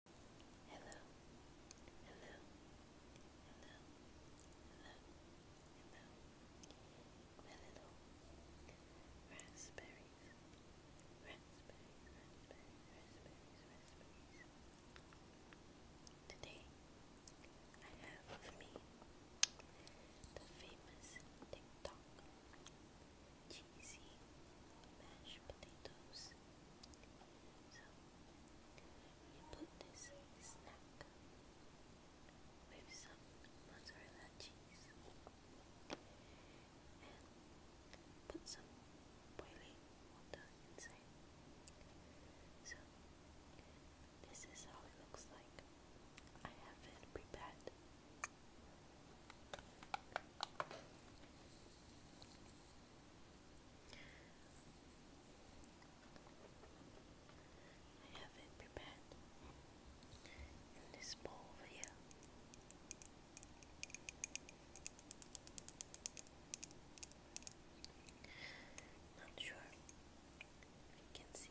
hello, hello, hello, hello, hello, my little raspberries, raspberries, raspberries, raspberries, raspberries. Today, I have with me the famous TikTok cheesy mashed potatoes. So you put this snack with some mozzarella cheese and put some boiling water inside. So this is how it looks like. I have it prepared I have it prepared in this bowl here. Not sure if you can see.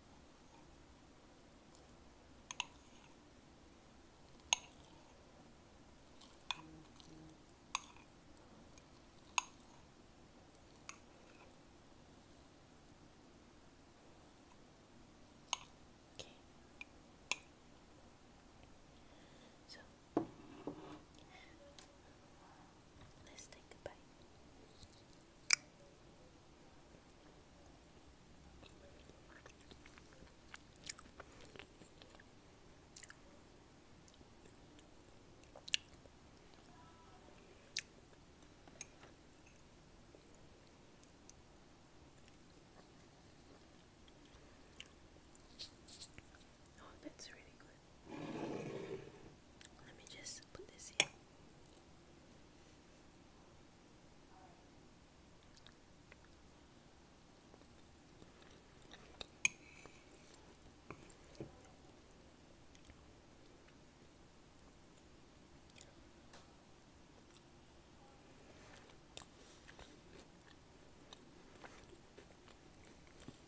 Okay. So let's take a Oh, that's really good. Let me just put this in.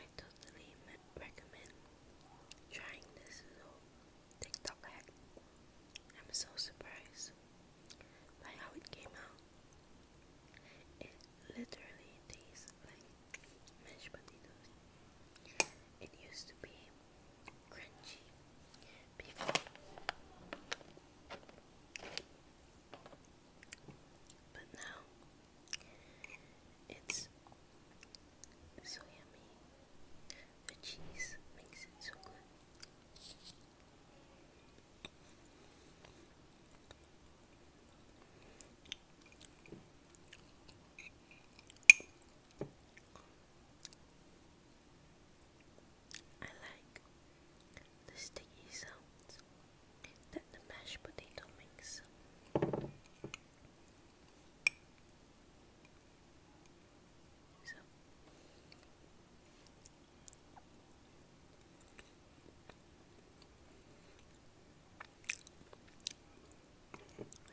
I totally recommend trying this TikTok hack. I'm so surprised by how it came out. It literally tastes like mashed potatoes. It used to be crunchy before. But now it's so yummy. The cheese makes it so good. I like the sticky sounds than the mashed potato mix.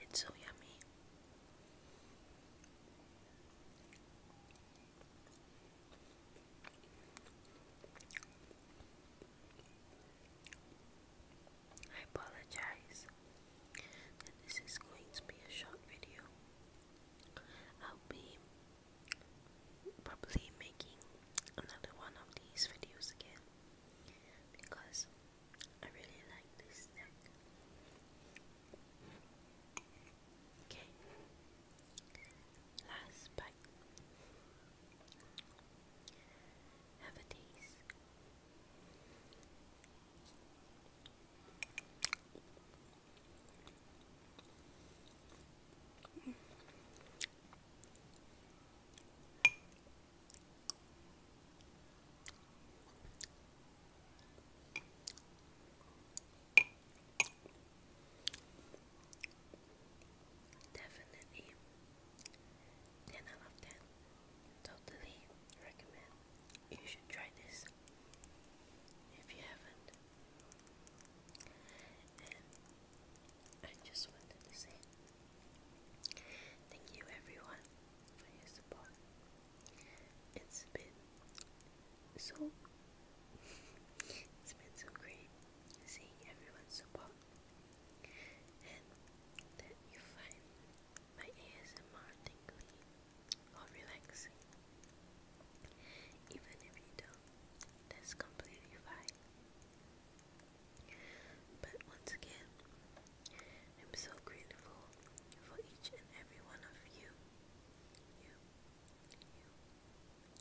It's so yummy. I apologize this is going to be a short video. I'll be probably making another one of these videos again because I really like this snack. Okay. Last bite. Have a taste. Definitely. Then I love that. Totally recommend. You should try this if you haven't. And I just wanted to say thank you everyone for your support. It's been so it's been so great seeing everyone's well, and that you find my ASMR tingly or relaxing. Even if you don't, that's completely fine. But once again, I'm so grateful for each and every one of you. You, you,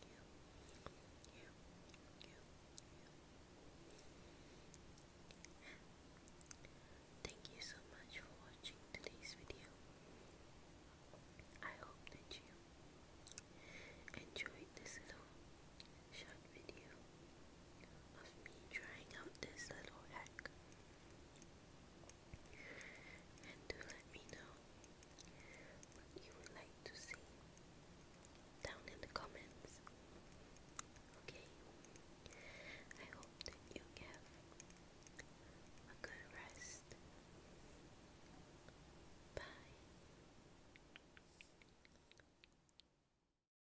you, you, you, you. Thank you so much for watching today's video. I hope that you enjoyed this little short video of me trying out this little hack and do let me know what you would like to see down in the comments. Okay? I hope that you have a good rest. Bye.